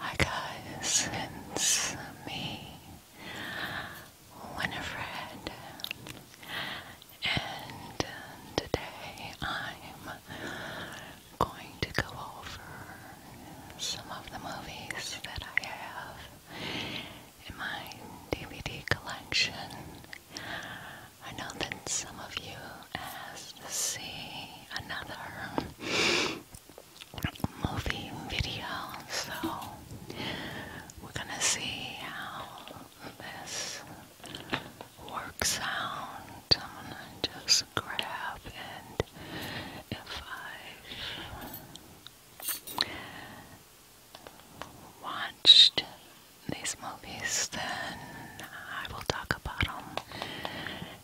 Hi guys, it's me, Winifred, and um, today I'm going to go over some of the movies that I have in my DVD collection. I know that some of you asked to see another movie video, so we're gonna see how this works out. I'm gonna just grab and if I've watched these movies, then I will talk about them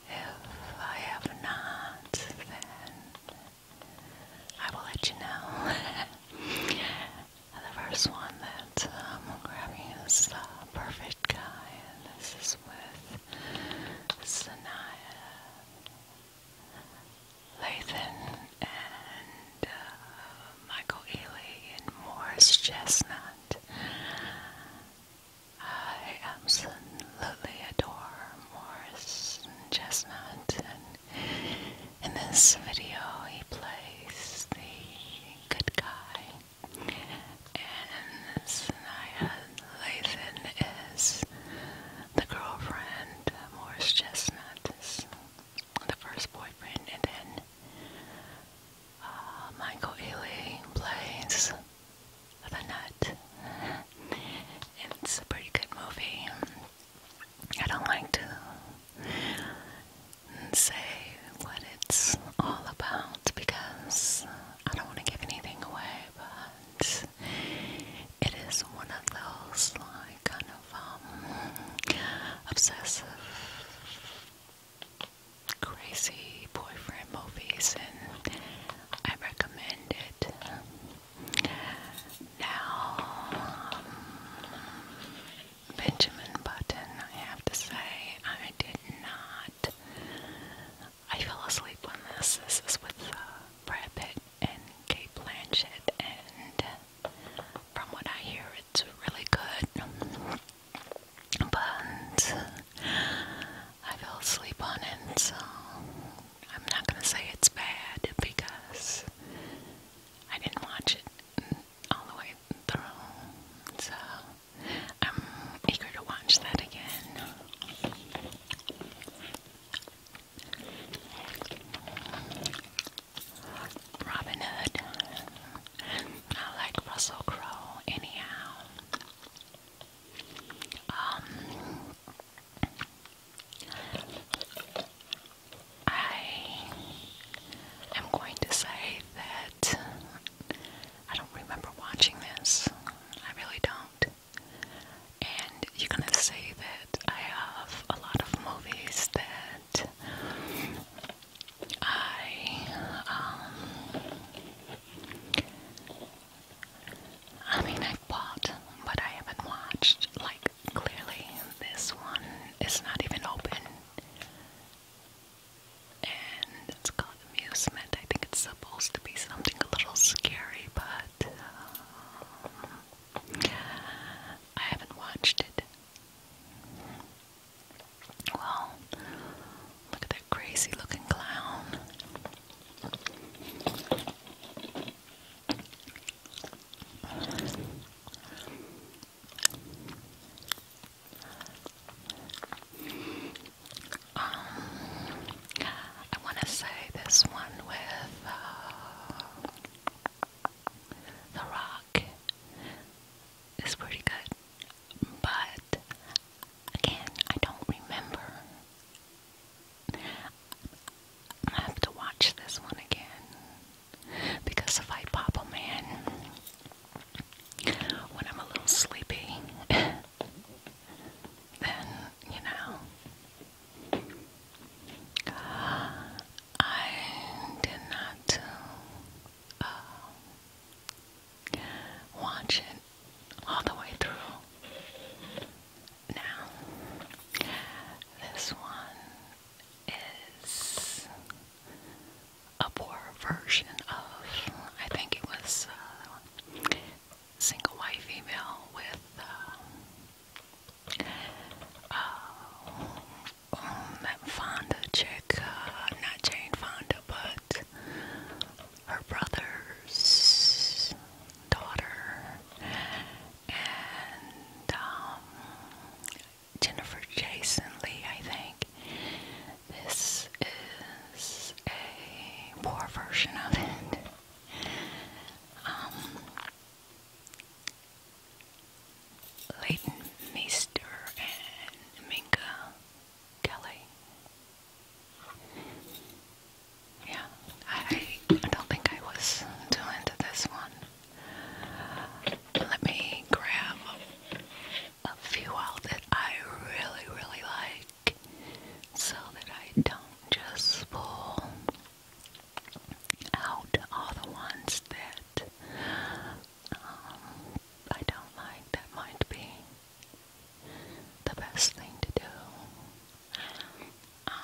if I have not, then I will let you know. the first one that um, I'm grabbing is the uh, Perfect Guy, this is with Sanaya Lathan and uh, Michael Ealy and Morris Chestnut. I absolutely adore Morris and Chestnut, and in this video he plays the good guy, and Sanaya Lathan is the girlfriend. Morris Chestnut is the first boyfriend, and then uh, Michael Ealy plays of nut. it's a pretty good movie. I don't like to say what it's all about because I don't want to give anything away, but it is one of those like kind of um, obsessive crazy boyfriend movies, and I recommend it. Now, um, Benjamin Button, I have to say, I did not. I fell asleep on this. This is with uh, Brad Pitt and Kate Blanchett, and from what I hear, it's really good but I fell asleep on it, so I'm not gonna say it's bad because I didn't watch it all the way through, so I'm eager to watch that again. Robin Hood. I like Russell Crowe, anyhow. Um, I am going to say that I don't remember watching this. I really don't. And you're going to say that I have a lot of movies that I um, I mean, I bought, but I haven't watched. Like, clearly, this one is not even open. And it's called Amusement. I think it's supposed to be something a little scary, but um, I haven't watched it. Well, Look at that crazy looking clown. Um, I want to say this one with uh, The Rock is pretty good but again, I don't remember. I have to watch this one again because if I pop them in when I'm a little sleepy, then you know I did not uh, Watch it all the way through. Now, this one is a poor version of, I think it was uh, single white female with. Uh, um, Fonda uh, not Jane Fonda, but her brother's daughter, and um, Jennifer Jason Lee, I think. This is a poor version of it. Um, Leighton Meester and Minka Kelly. Yeah, I, I don't think I was too into this one. Let me grab a few that I really, really like so that I don't just pull out all the ones that um, I don't like. That might be the best thing to do. Um,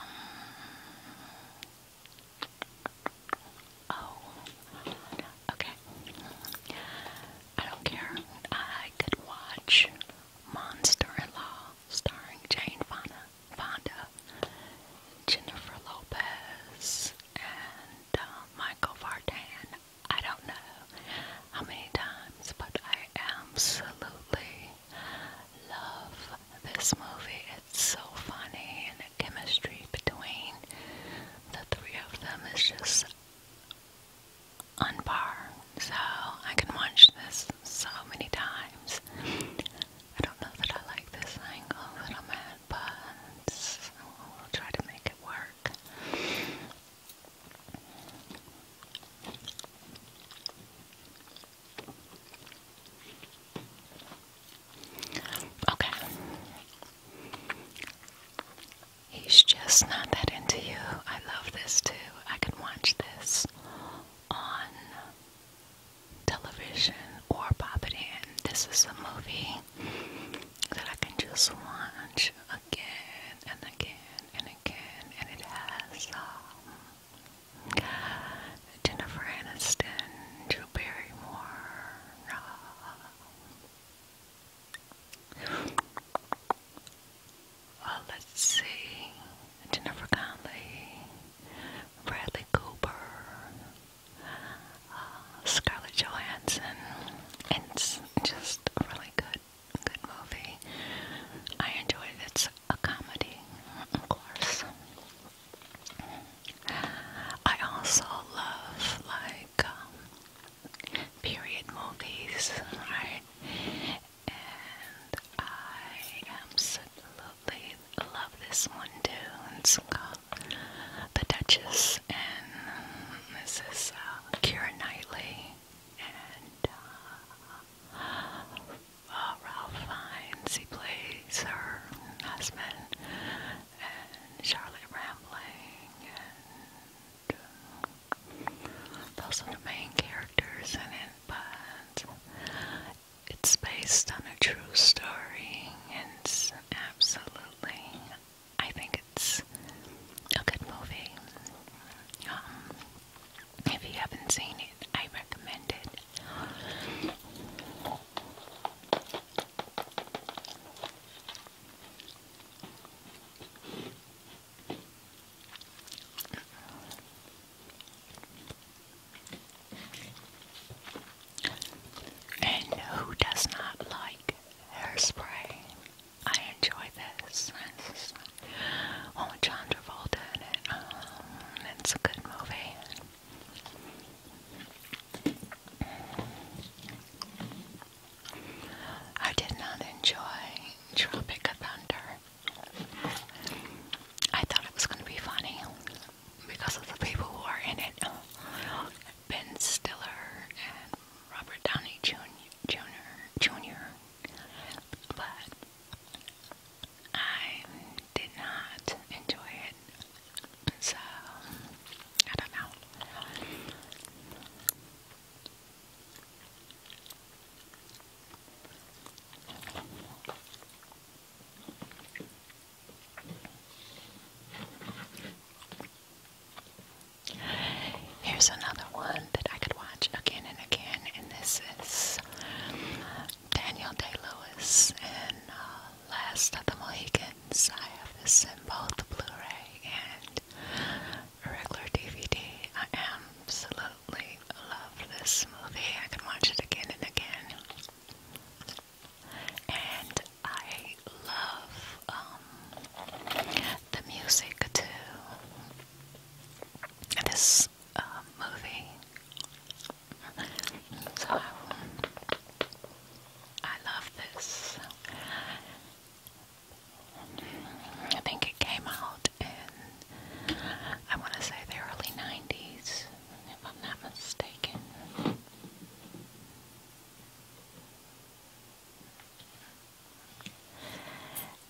oh, okay. I don't care. I could watch Monster-in-Law starring Jane Fonda, Jennifer Lopez, and uh, Michael Vartan. I don't know how many times, but I absolutely love this movie. It's so funny, and the chemistry between the three of them is just on So I can watch this so many times. I don't know that I like this angle that I'm at, but we'll try to make it work. Okay. He's just not that into you. I love this too. I can watch this on television or pop it in. This is a movie that I can just watch again and again and again, and it has um, Jennifer Aniston, Drew Barrymore. Uh, uh Jennifer Connelly, Bradley Cooper, uh, Scarlett Johansson. It's just really good good movie. I enjoyed it. It's a comedy, of course. I also love like um, period movies, right? And I absolutely love this one too. It's called The Duchess, and this is uh, Keira Knightley and uh, oh, Ralph Fiennes, he plays her husband, and Charlotte Rampling, and those are the main characters in it's based on a true story, and it's absolutely I think it's a good movie. Um, if you haven't seen it, I recommend it. And who does not like hairspray? I enjoy this. oh, John Travolta in it. Um, it's a good movie. I did not enjoy Tropic Thunder. I thought it was going to be funny because of the people who are in it. Ben Stiller and Robert Downey Jr. Jr. Jr but I did not enjoy it, so I don't know. Here's another one that I could watch again and again, and this is uh, Daniel Day Lewis and uh, Last of the Mohicans. I have this in both Blu ray and regular DVD. I absolutely love this movie. I can watch it again and again. And I love um, the music too this um, movie. So I love this. I think it came out in, I want to say the early 90s, if I'm not mistaken.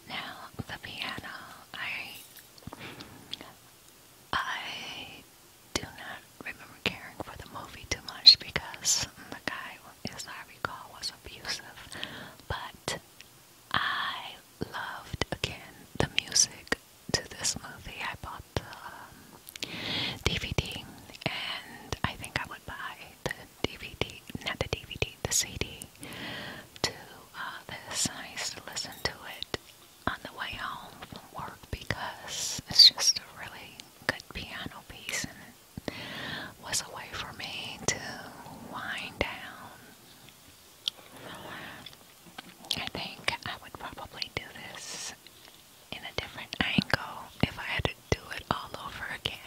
Now the piano, I I do not remember caring for the movie too much because the guy, as I recall, was abusive. But I loved again the music to this movie. I bought the DVD, um, and I think I would buy the DVD, not the DVD, the CD to this. And I used to listen to it on the way home from work because it's just a really good piano piece and it was a way for me to wind down. I think I would probably do this in a different angle if I had to do it all over again.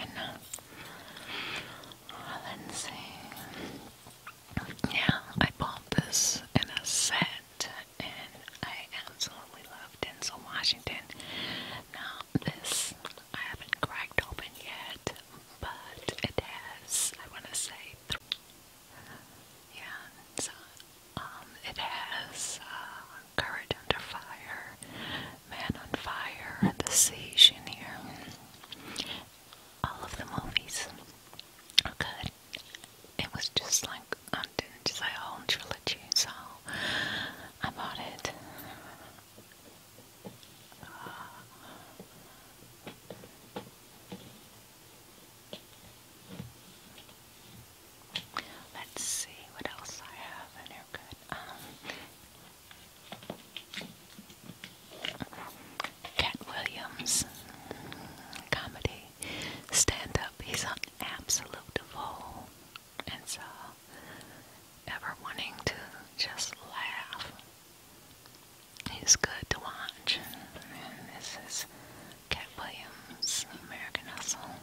Yeah, I bought this in a set, and I absolutely love Denzel Washington. Now, this I haven't cracked open yet, but it has, I want to say, th yeah, so um, it has uh, Courage Under Fire, Man on Fire, The Siege in here. All of the movies are good. It was just like I didn't just say a whole trilogy, so I bought it. Let's see what else I have in here. Good. Um, Cat Williams comedy stand up. He's an absolute fool, and so ever wanting to just laugh. He's good to watch, and this is Cat Williams, American Hustle.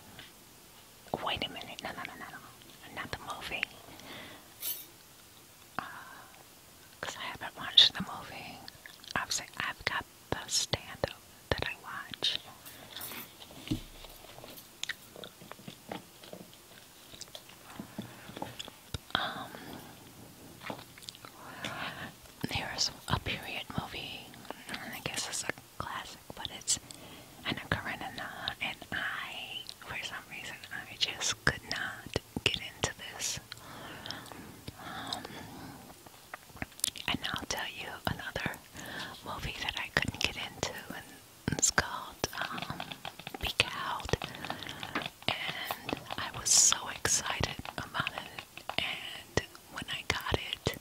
Wait a minute, not the movie because I haven't watched the movie. Obviously, I've got the stand-up that I watch. Um, there's a period movie, I guess it's a classic, but it's Anna Karenina, and I, some reason I just could not get into this. Um, and I'll tell you another movie that I couldn't get into, and it's called um, And I was so excited about it, and when I got it,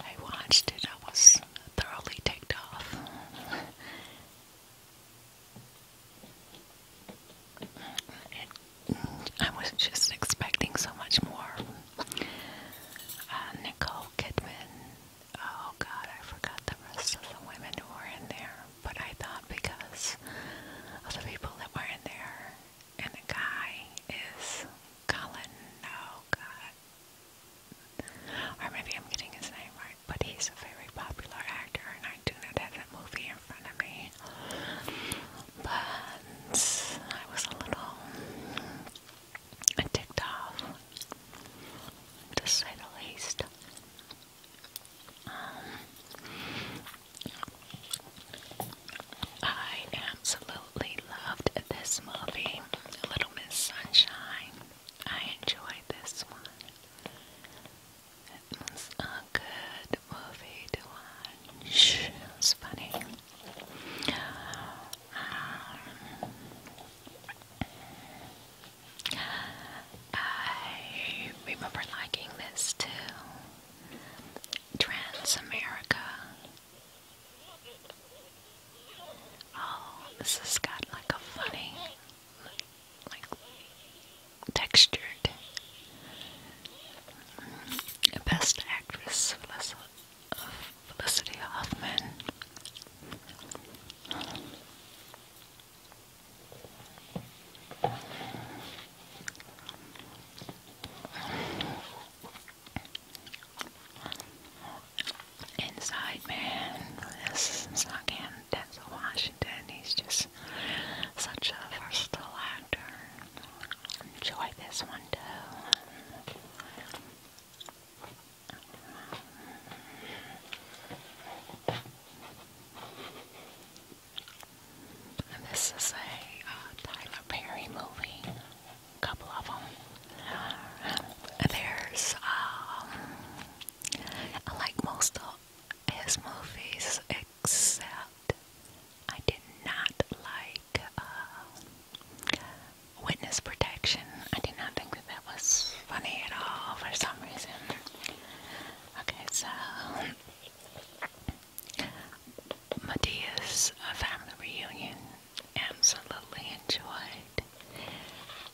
I watched it, I was thoroughly ticked off. I was just expecting so much more. Uh, Nicole Kidman. Oh God, I forgot the rest of the women who were in there. But I thought because of the people that were in there, and the guy is Colin. Oh God, or maybe I'm getting his name right, but he's a very popular actor, and I do not have that movie in front of me. But I was a little ticked off, to say the least. Um, I absolutely loved this movie, Little Miss Sunshine. I enjoyed this one. It was a good movie to watch. It was funny. Um, I remember liking this too. Trans Oh, this has got like a funny like textured. Best Actress Felicity Hoffman. Inside Man. This is not canon. Denzel Washington. He's just such a versatile actor. Enjoy this one too. And this is a uh, Tyler Perry movie. A couple of them. Uh, there's um, I like most of his movies, except I did not like uh, Witness Protection. I did not think that that was funny at all for some reason. Okay, so Medea's family reunion absolutely enjoyed,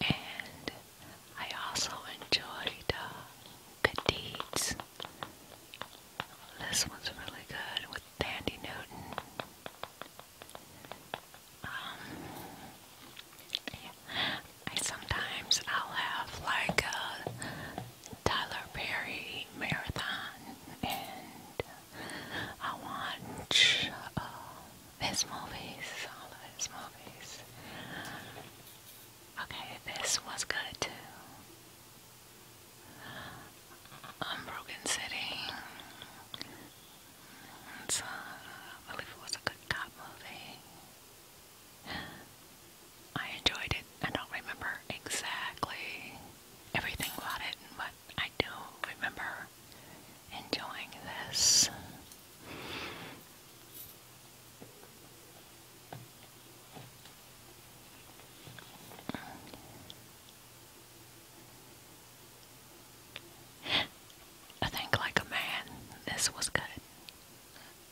and I also enjoyed uh, Good This one's really good with Dandy Newton. Um, sometimes I'll have like a Tyler Perry marathon, and I watch uh, his movies, all of his movies. Okay, this was good too. Unbroken City. So, I believe it was a good cop movie. I enjoyed it. I don't remember exactly everything about it, but I do remember enjoying this. I think like a man, this was good.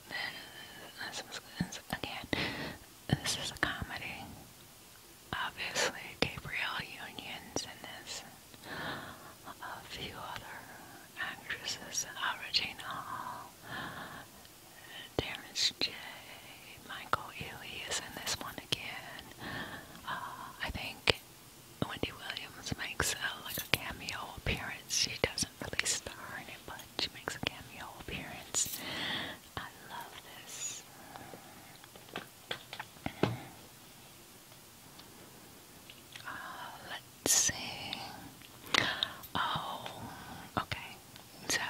This was good. Again, this is a comedy. Obviously, Gabrielle Union's in this a few other actresses, uh, Terrence J, Michael Ealy is this one again. Uh, I think Wendy Williams makes a, like a cameo appearance. She doesn't really star in it, but she makes a cameo appearance. I love this let's see. Oh, okay. So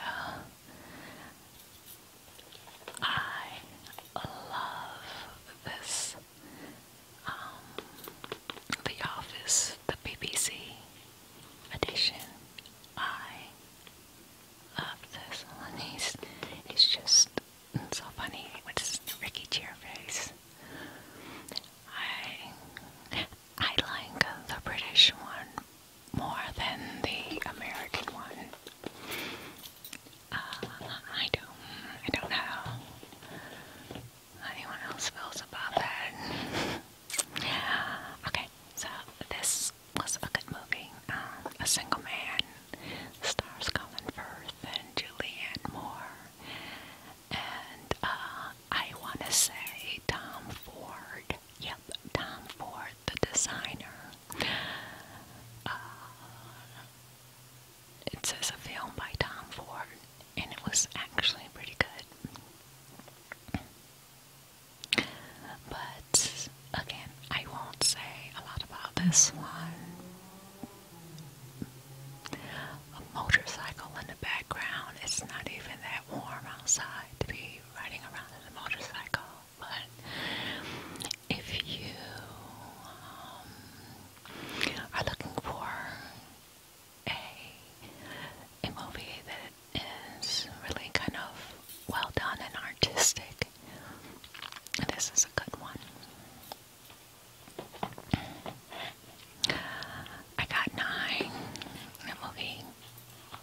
I love this. Um, the Office, the BBC edition. I love this one. He's, it's just so funny with his Ricky Gervais. I I like the British one more than the American one. Uh, I don't, I don't know anyone else feels about that. Okay, so this was a good movie. Uh, a Single Man stars Colin Firth and Julianne Moore and uh, I want to say Tom Ford. Yep, Tom Ford, the designer. Uh, it says a film by Tom Ford, and it was actually pretty good. But again, I won't say a lot about this one a motorcycle in the background. It's not even that warm outside to be riding around in a motorcycle, but if you um, are looking for a a movie that is really kind of well done and artistic, this is a good one. I got nine. The movie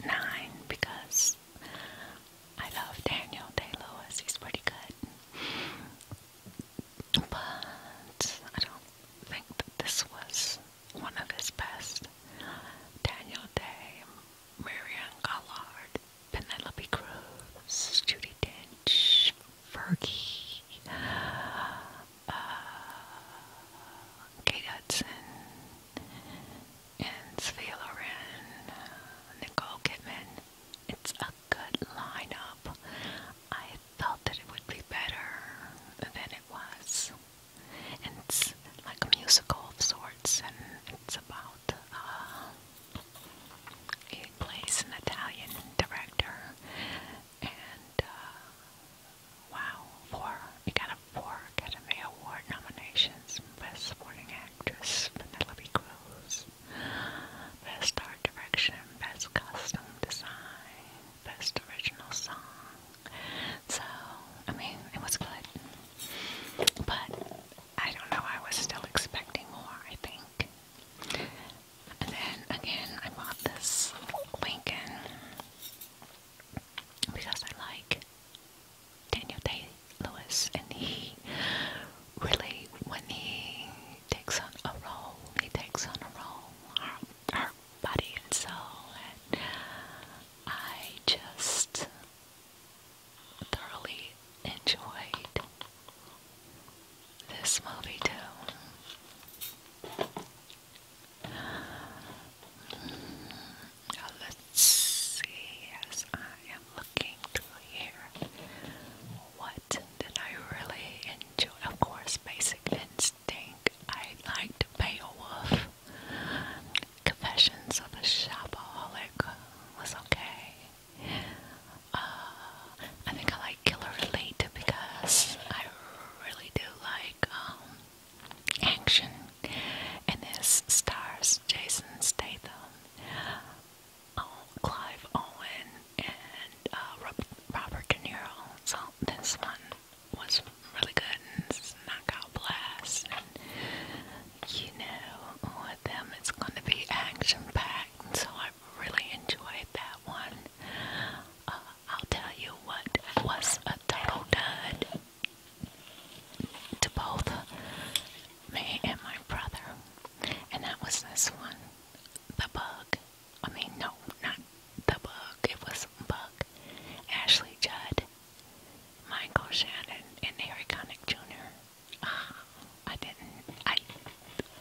nine because I love Daniel Day Lewis. He's pretty good, but I don't think that this was one of his best. Daniel Day, Marion Collard, Penelope Cruz, Judy Dench. Fergie, uh, Kate Hudson, and Sophia Nicole Kidman. It's a good lineup. I thought that it would be better than it was. it's like a musical of sorts, and it's about uh, it plays an Italian director and uh, wow, four. We got a four Academy Award nominations: Best Supporting Actress, Penelope Cruz; Best Art Direction, Best Costume Design, Best Original Song. So, I mean, it was good, but I don't know. I was still expecting more. I think. And then again, I bought this Lincoln because I like Daniel Day Lewis, and he really, when he takes on a role, he takes on a role, heart, heart body, and soul. And I just thoroughly enjoyed this movie too. let's see as I am looking through here. What did I really enjoy? Of course, Basic Instinct. I liked Beowulf. Confessions of a Shopaholic was okay. Uh, I think I like Killer Elite because I really do like um, action, and this stars Jason Statham, um, Clive Owen, and uh, Robert De Niro. So this one was really good, and it's knockout blast, and you know with them it's going to be action packed, so I really enjoyed that one. Uh, I'll tell you what was a total dud to both me and my brother, and that was this one the bug. I mean, no, not the bug, it was Bug. Ashley Judd, Michael Shannon, and Harry Connick Jr. Ah, I didn't. I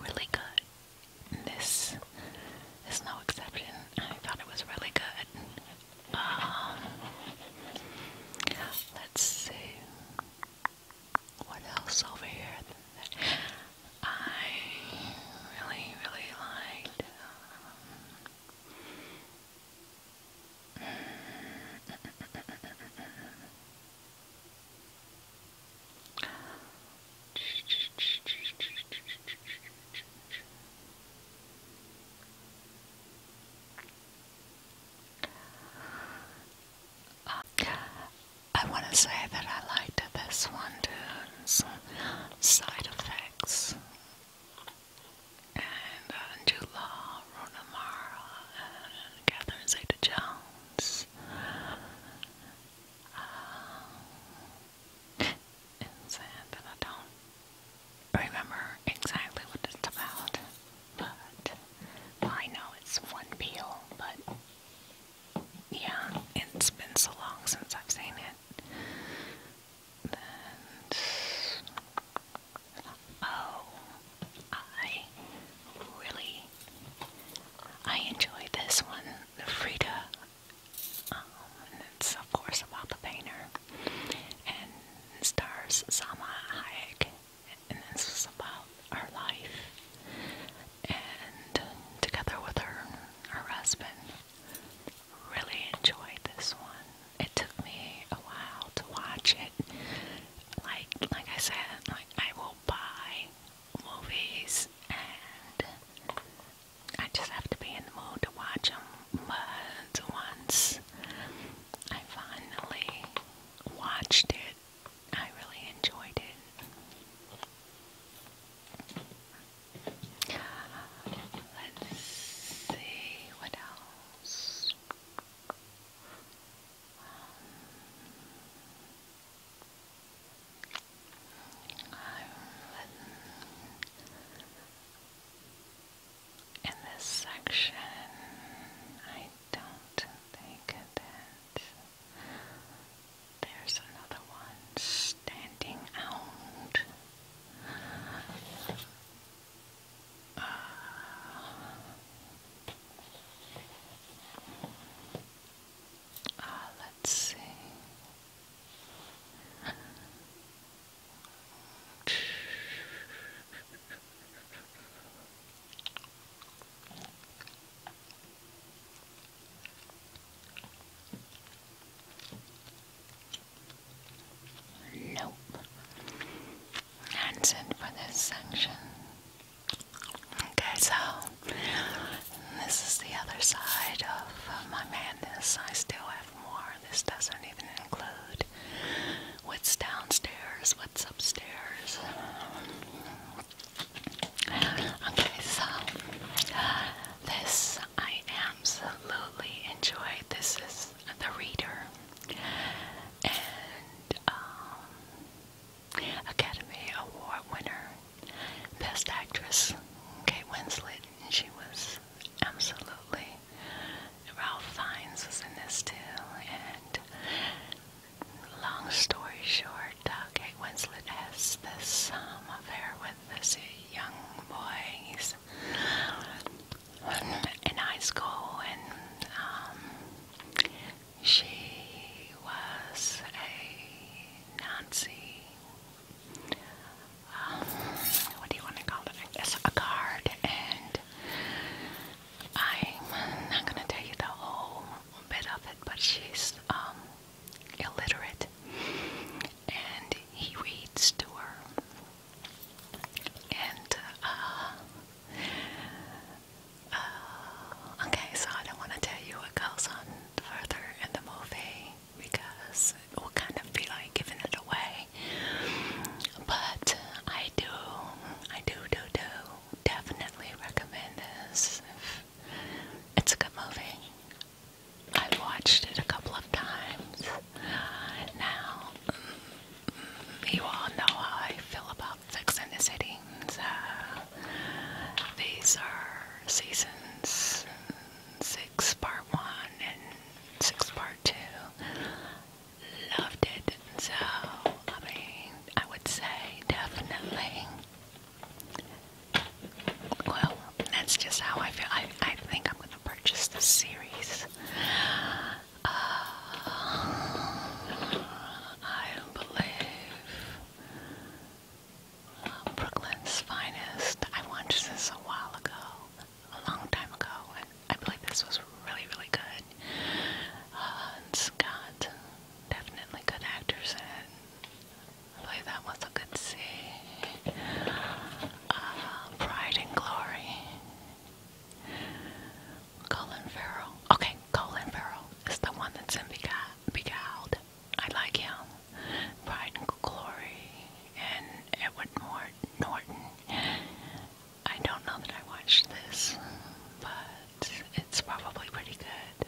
really good. this is no exception. I thought it was really good. Um, let's see. What else over here? I really, really liked. Um, I want to say that I liked this one too. side effects. And uh, Jula Runamara and Catherine Zeta Jones is um, I don't remember exactly what it's about, but I know it's one peel, but yeah, it's been so long since I've seen it. oh, I really I enjoy this one, the Frida, um, and it's of course about the painter, and stars Zama Hayek, and this is about her life, and together with her, her husband. Really enjoyed this one. It took me a while to watch it. Like, like I said, like I will go buy movies and I just have to be in the mood to watch them. But once I finally watched it, I really enjoyed it. Let's see what else in this section, I don't think that there's another one standing out. Uh, Ah, let's see. Nope. That's it for this section. Okay, so this is the other side of uh, my madness. I still have more. This doesn't even include what's downstairs, what's upstairs. Okay, so this I absolutely enjoy. This is The Reader. And, um, Academy Award winner, Best Actress, Kate Winslet, and she was absolutely. Ralph Fiennes was in this too, and long story short, uh, Kate Winslet has this um, affair with this young boy. He's in high school, and um, she was a Nancy. Um, what do you want to call it? I guess a card. And I'm not going to tell you the whole bit of it, but she's um, illiterate. And he reads to her. And uh, uh, okay, so I don't want to tell you what goes on further in the movie because it will kind of be like giving it away. But I do, I do, do, do definitely recommend this. It's a good movie. I've watched it a couple of times uh, now. Mm, mm, you all know how I feel about conflicts in the city. So these are seasons six, part one, and six, part two. Loved it. So, I mean, I would say definitely. Well, that's just how I feel. I, I think I'm going to purchase this series. Uh, I believe Brooklyn's finest. I watched this a while ago, a long time ago, and I believe this was really, really good. Uh, and Scott, definitely good actors in I believe that was a good see. Uh, Pride and Glory. Colin Farrell. Okay, Colin Farrell is the one that's in Beguiled. Beguiled. I like him. Pride and and Edward Norton. I don't know that I watched this, but it's probably pretty good.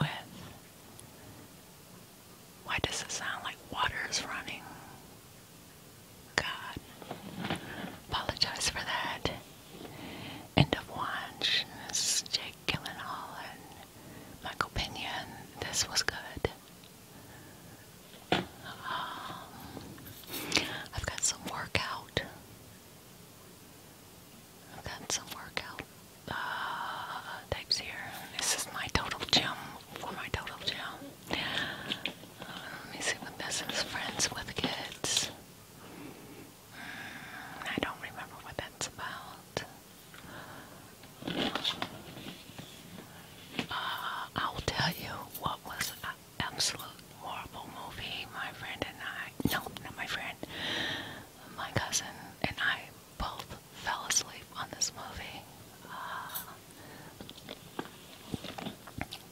With why does it sound like water is running? God, apologize for that and of Wands, Jake Gyllenhaal, and Michael Pena. This was good. Um, I've got some workout. I've got some workout uh, types here. This is my total gym for my total gym. Um, let me see what this is. Friends with kids. I don't remember what that's about. Uh, I'll tell you what was an absolute horrible movie. My friend and I, no, not my friend, my cousin and I both fell asleep on this movie. Uh,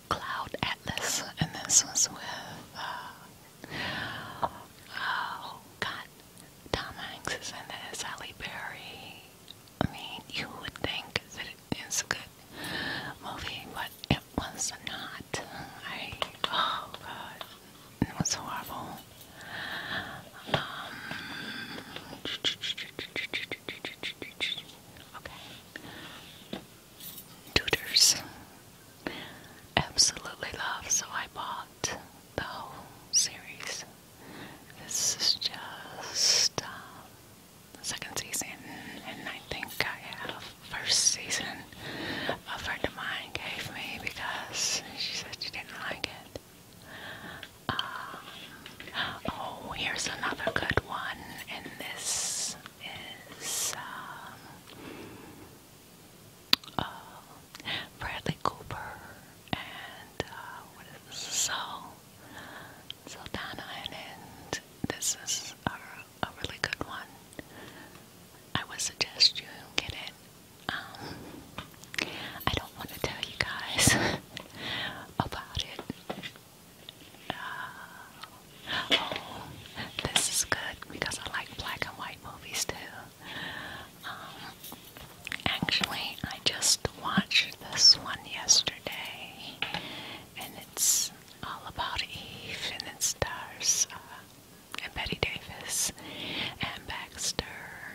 Cloud Atlas, and this was with uh, Oh God, Tom Hanks is in this. Halle Berry. I mean, you would think that it is a good movie, but it was not. I oh God, it was horrible. Um, okay tutors. Absolutely love, so I bought the whole series. This is just uh, the second season, and I think I have first season. A friend of mine gave me because she said she didn't like it. Um, oh, here's another good one, and this is um, uh, Bradley Cooper and uh, what is this? So and, this is a, really good one. I would suggest you get it. Um, I don't want to tell you guys about it. Uh, Oh, this is good because I like black and white movies too. Um, actually, I just watched this one yesterday, and it's all about Eve, and it stars uh, and Betty Davis, and Baxter,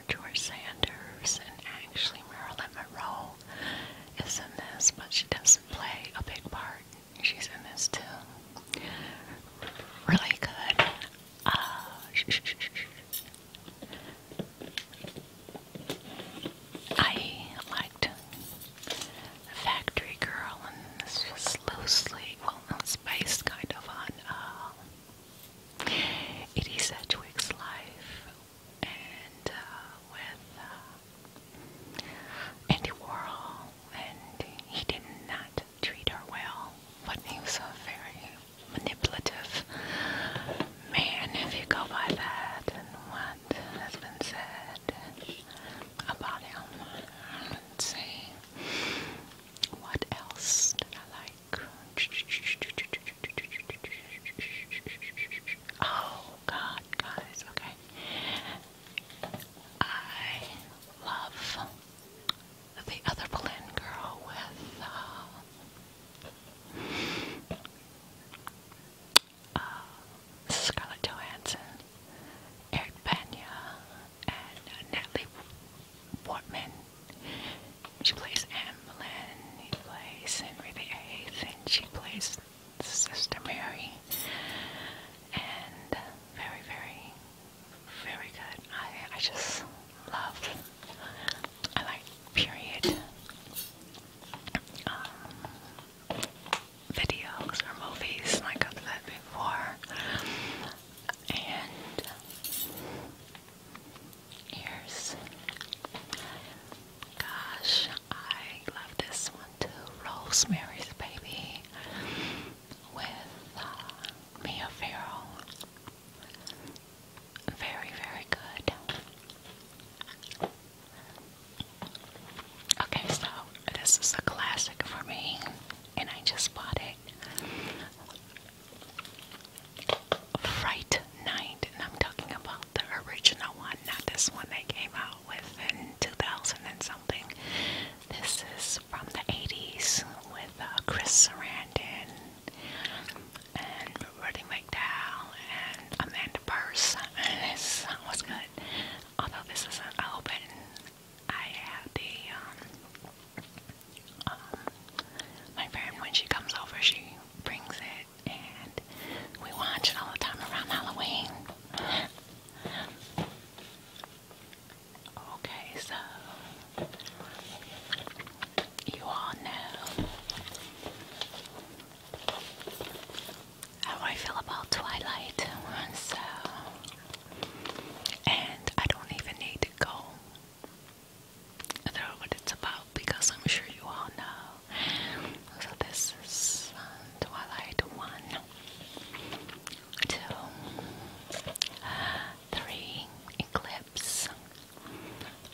George Sanders, and actually Marilyn Monroe is in this, but she doesn't play a big part. She's in this too. Really good. Uh, I liked Factory Girl, and this was loosely, well, not spiced kind of on uh, Edie life, and uh, with uh, Andy Warhol and he did not treat her well. But he was a very manipulative man, if you go by that, and what has been said about him. Let's see. What else did I like? Oh, God, guys, okay. I love the other Berlin girl with uh, uh, Scarlett Johansson, Eric Bana, and uh, Natalie Portman. She plays Anne Boleyn, he plays Henry VIII, and she plays Sister Mary. And very, very very good. I, I just love, I like period um, videos or movies like I've said before. And here's, gosh, I love this one too. Rosemary's Baby with uh, Mia Farrow. Very, very good. Okay, so this is a classic for me, and I just bought it. Fright Night, and I'm talking about the original one, not this one they came out with in 2000 and something. This is from the 80s with uh, Chris Sarandon and Roddy McDowell and Amanda Burse. And this was good. Although this isn't open, I have the, um, um, my friend, when she comes over, she brings it and we watch it all the time around Halloween. Okay, so you all know how I feel about Twilight, so and I don't even need to go through what it's about because I'm sure you all know. So this is um, Twilight One two, three, eclipse,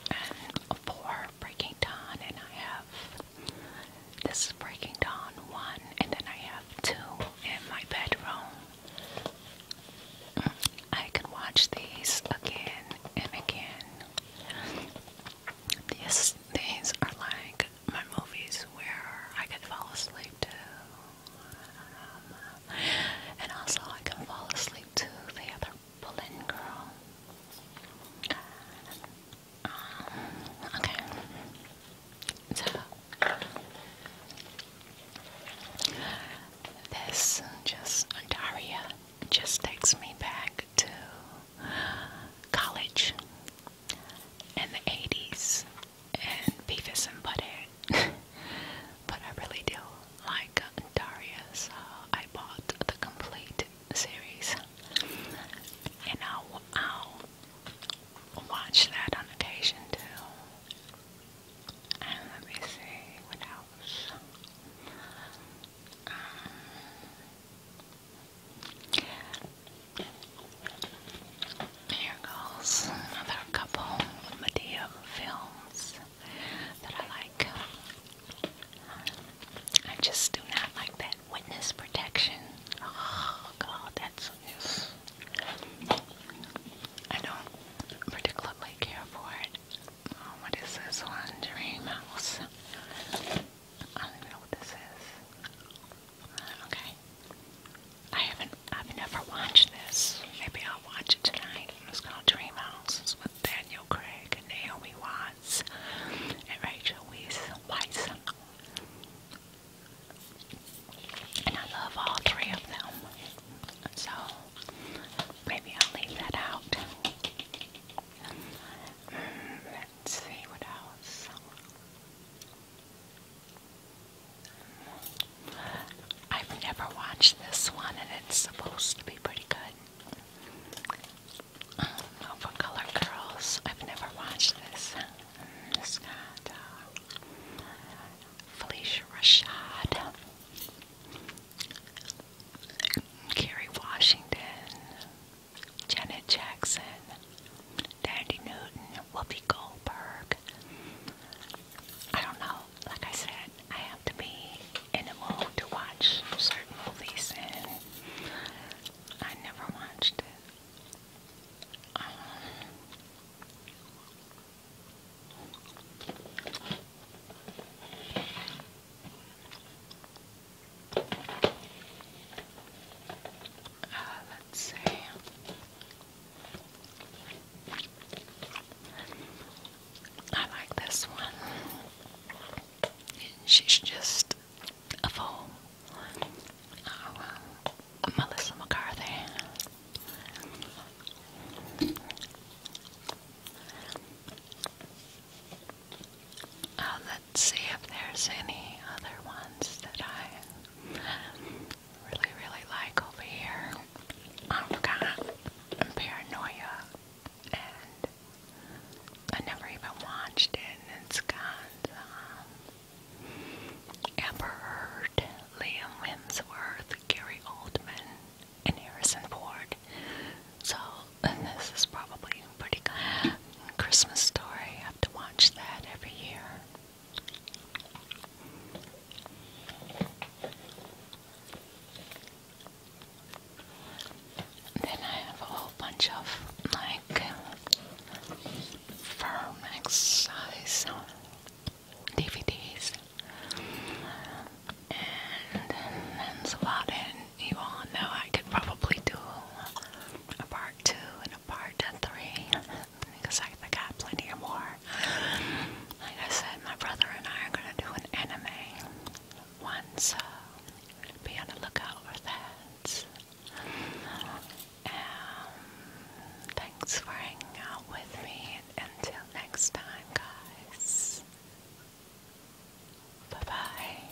and four, breaking dawn, and I have this is breaking dawn one, and then I have two in my bedroom. I can watch these again and again. These things are like my movies where I can fall asleep to. Um, and also I can fall asleep to the other Berlin girl. Um, okay. So this just Ontario just takes me back to college in the 80s and Beavis and Butthead. but I really do like Daria, uh, I bought the complete series. And I'll, watch that on occasion too. And let me see what else. Um, here goes another couple of Medea films that I like. I just do not like that witness protection. Oh god, that's I don't particularly care for it. Oh, what is this one? Dream I don't even know what this is. Okay. I haven't. I've never watched this. Maybe I'll watch it tonight. It's called Dream House. It's with Daniel Craig Naomi Watts and Rachel Weisz. And I love all three of them. So maybe I'll leave that out. Mm, let I've never watched this one, and it's supposed to be pretty good. Um, for Color Girls, I've never watched this. It's got uh, Felicia Rashad, Kerry Washington, Janet Jackson, Dandy Newton, Whoopi Goldberg. I don't know. Like I said, I have to be in the mood to watch certain movies, and I never watched it. Um, uh, let's see. I like this one. She's just a fool. Oh, Melissa McCarthy. Uh, let's see if there's any other ones that I really, really like over here. Um, I've got Paranoia, and I never even watched it. And it's got um, Amber Heard, Liam Hemsworth, Gary Oldman, and Harrison Ford. So and this is probably pretty good. Christmas Story. I have to watch that every year. Then I have a whole bunch of like firm exercise DVDs, and that's about it. You all know I could probably do a part two part three because I, got plenty more. Like I said, my brother and I are gonna do an anime one, be on the lookout for that. thanks for hanging out with me, until next time, guys. Bye bye.